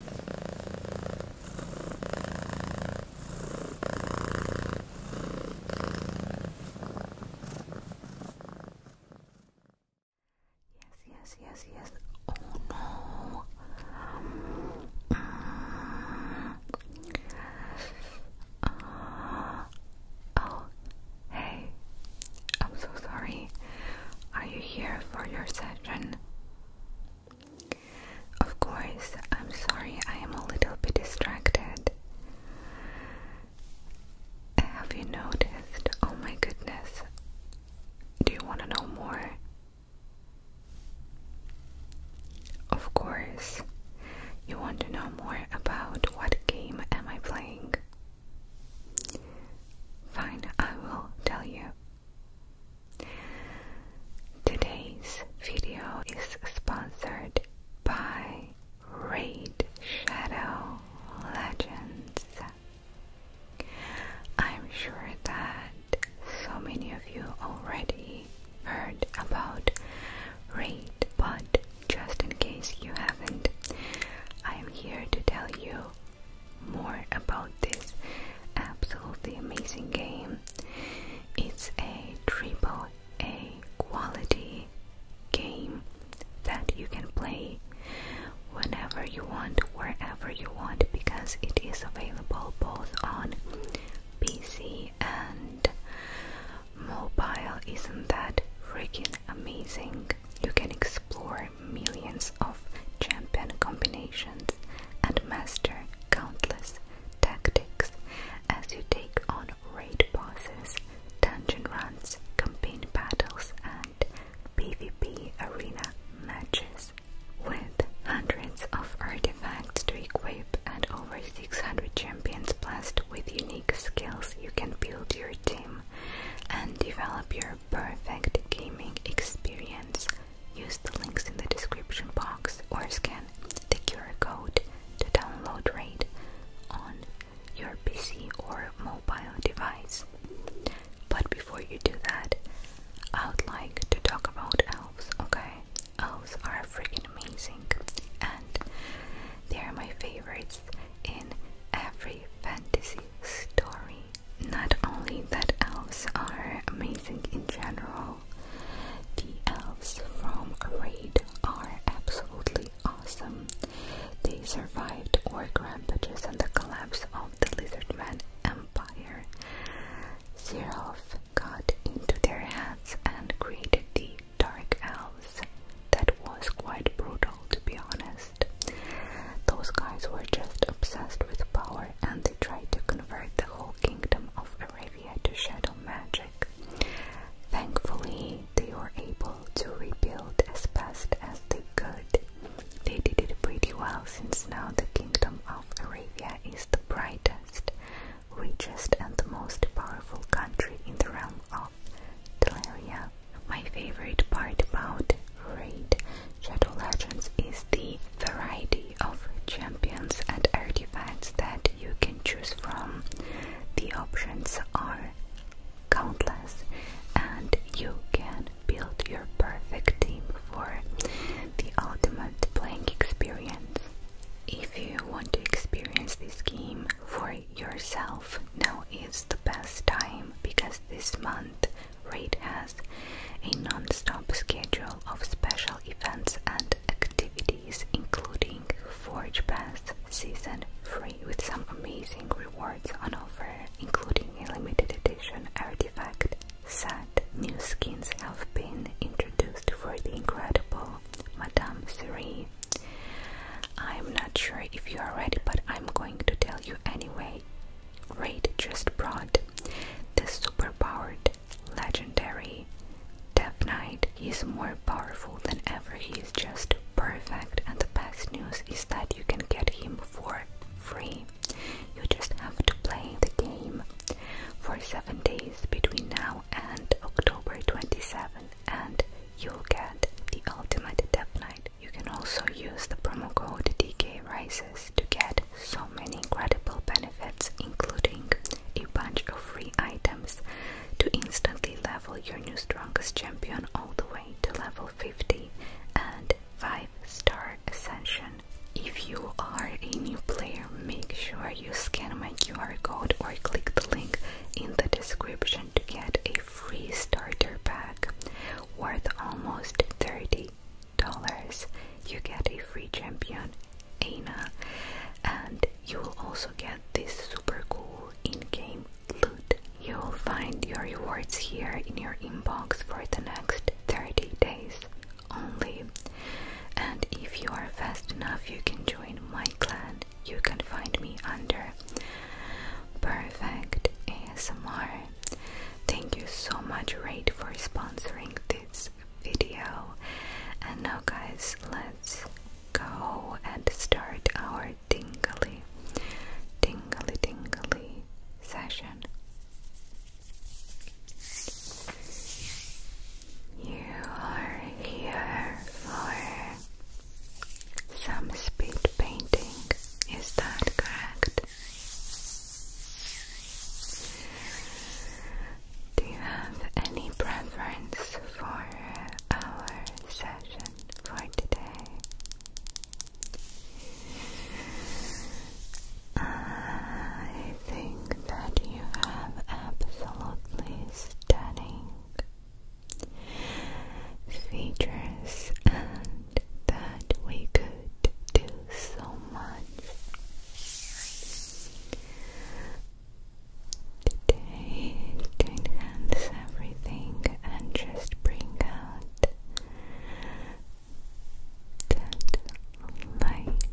Yes, yes, yes. Oh no. Uh, uh, oh, hey. I'm so sorry. Are you here for your session? Of course, I'm sorry I am a little bit distracted. Have you noticed? Oh my goodness. Do you want to know more? Of course. You want to know more about what game am I playing? Fine, I will tell you. Today's video is sponsored by Raid Shadow Legends. I'm sure that so many of you already heard about Raid, but just in case you haven't, I'm here to tell you more about this absolutely amazing game. It's a triple A quality game that you can play whenever you want, wherever you want, because it is available both on PC and mobile. Isn't that freaking amazing? You can explore millions of champion combinations and master countless tactics as you take on raid bosses, dungeon runs, campaign battles, and PvP arena matches. With hundreds of artifacts to equip and over 600 champions blessed with unique skills, you can build your team and develop your perfect gaming experience Use the links in the description box or scan the QR code to download RAID on your PC or mobile device. But before you do that, I would like to talk about elves, okay? Elves are freaking amazing and they are my favorites in every fantasy story not only that elves are amazing in general, the elves from Raid are absolutely awesome. They survived orc rampages and the collapse of the Lizardman Empire. Xeroth got into their heads and created the Dark Elves. That was quite brutal to be honest. Those guys were just obsessed with power and they tried to convert the whole kingdom of Arabia to shadow magic. Thankfully, they were able to rebuild as fast as they could. They did it pretty well since now the kingdom of Arabia is the brightest, richest, and most powerful country in the realm of Teleria. My favorite part about Raid Shadow Legends is the variety of champions and artifacts that you can choose from. The options are countless, and you can build your perfect team for the ultimate playing experience. If you want to experience this game for yourself, now is the best time because this month Rate has a non-stop schedule of special events and activities including Forge Pass Season 3 with some amazing rewards on offer including a limited edition artifact set. New skins have been introduced for the incredible Madame Siri. I'm not sure if you are ready but I'm going to tell you anyway. Rate just brought the superpowered, legendary Death Knight is more powerful than ever. He's just perfect, and the best news is that you can get him for free. You just have to play the game for seven days between now and October 27, and you'll get the ultimate Death Knight. You can also use the promo code DK Rises to get so many incredible benefits, including a bunch of free items to instantly level your new strongest champion all the way to level 50 and 5 star ascension. If you are a new player, make sure you scan my QR code or click the link in the description to get a free starter pack worth almost 30 dollars you get a free champion, Aina, and you will also get this super cool in-game loot. You'll find your rewards here in your inbox for the next 30 days only. And if you are fast enough, you can join my clan. You can find me under Perfect ASMR. Thank you so much, Raid, for sponsoring this this video. And now, guys, let's go and start our tingly, tingly, tingly session. You are here for some speed painting, is that correct? Do you have any preference for our session for today? I think that you have absolutely stunning features and that we could do so much. Today, enhance everything and just bring out that light,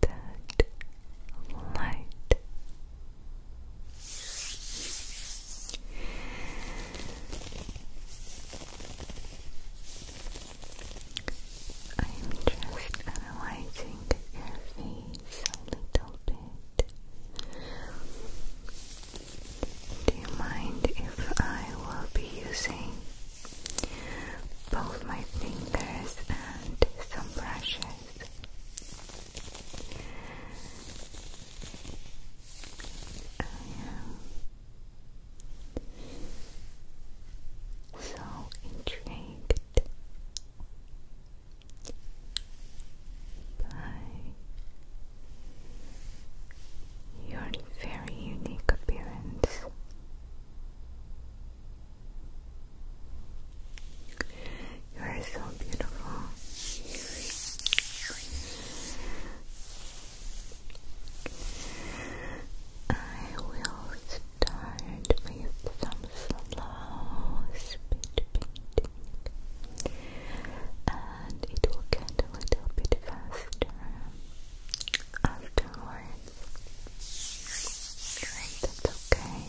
that light. I'm just analyzing your face a little bit. Do you mind if I will be using both my fingers and some brushes? I so intrigued by your very unique appearance. You are so beautiful. I will start with some slow speed and it will get a little bit faster afterwards. Right, that's okay.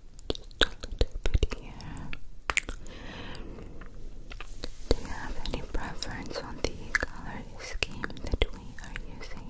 Just Do you have any preference on the color scheme that we are using?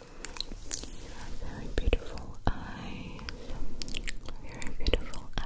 Very beautiful eyes. Very beautiful eyes.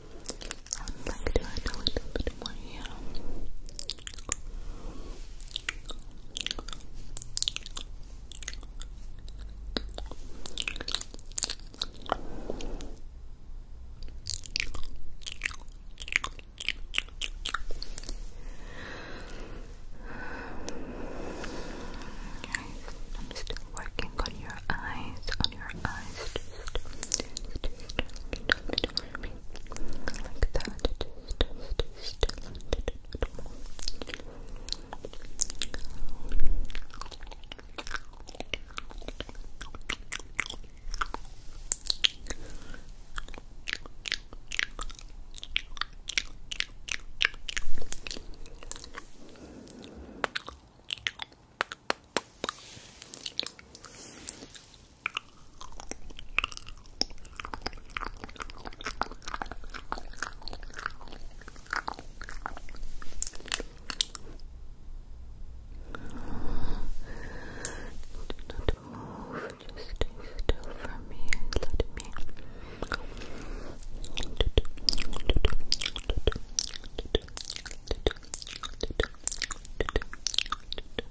I would like to add a little bit more here. I'm still working on your eyes, on your eyes, just, like that, just, just, just a little bit more Okay. Do not move, just stay still for me and let me.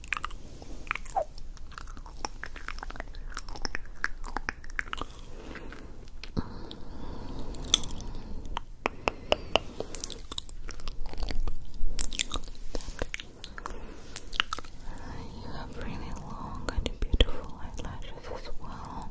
You have really long and beautiful eyelashes as well.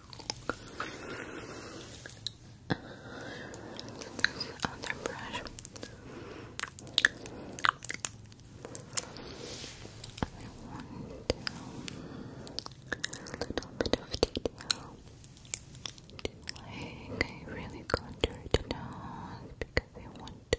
Uh, this other brush. I want a little bit of detail. Like I really contour the nose because I want to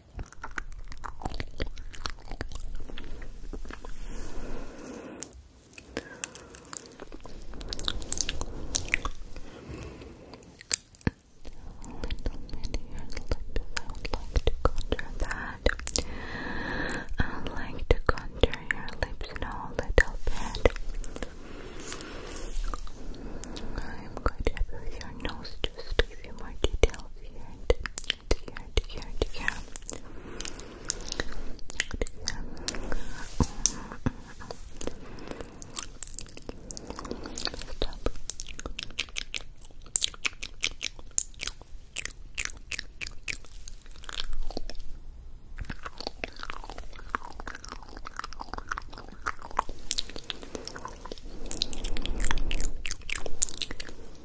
I would like to contour your lips now a little bit. I'm going to have your nose just to give you more details here to here, to here, to here. Stop.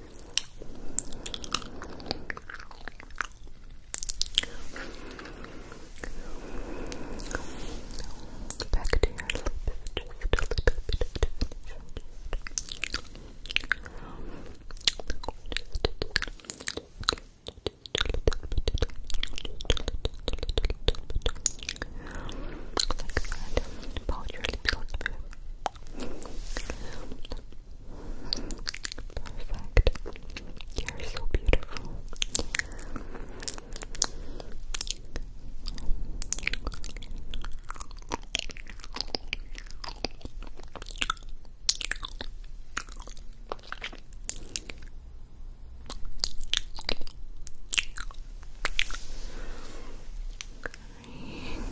Back to your lips, just a little bit of Like that. About your lips a little bit. Perfect. You're so beautiful. Cheekbones.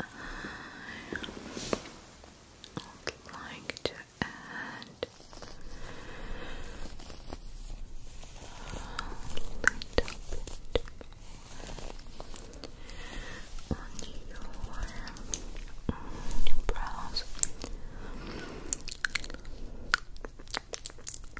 I would like to add a little bit on your brows.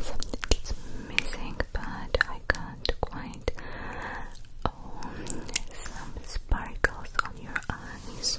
Something is missing, but I can't quite. Oh, some sparkles on your eyes.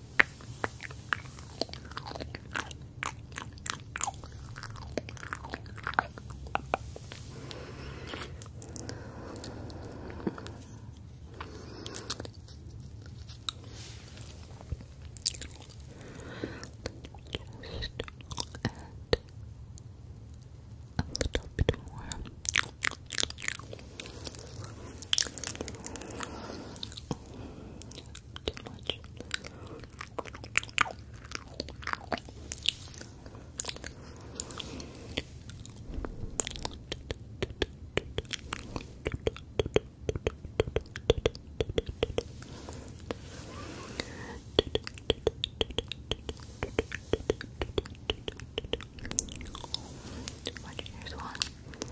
Just add a little bit more too much. Watch, here's one. Let's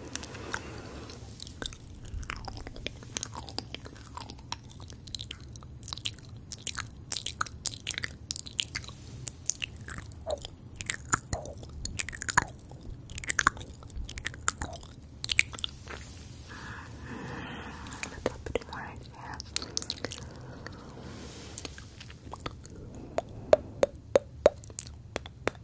a bit more yeah.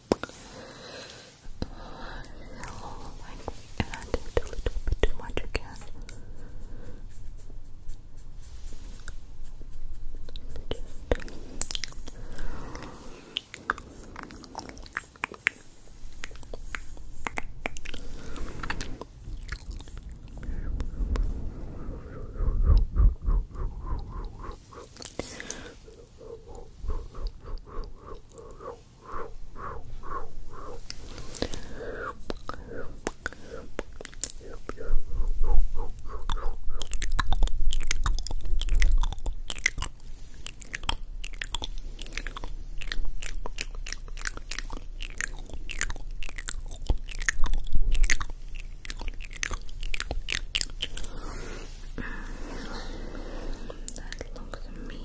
Hello, like, and I did a little bit too much again. Just that looks amazing.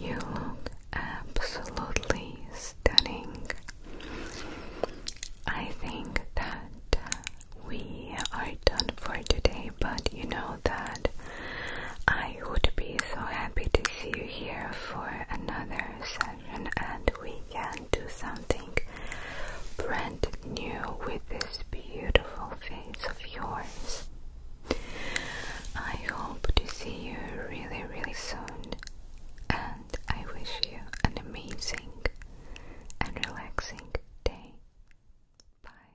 You look absolutely stunning. I think that we are done for today, but you know that I would be so happy to see you here for another session, and we can do something brand new with this beautiful thing of yours. I hope to see you really, really soon, and I wish you an amazing and relaxing day. Bye.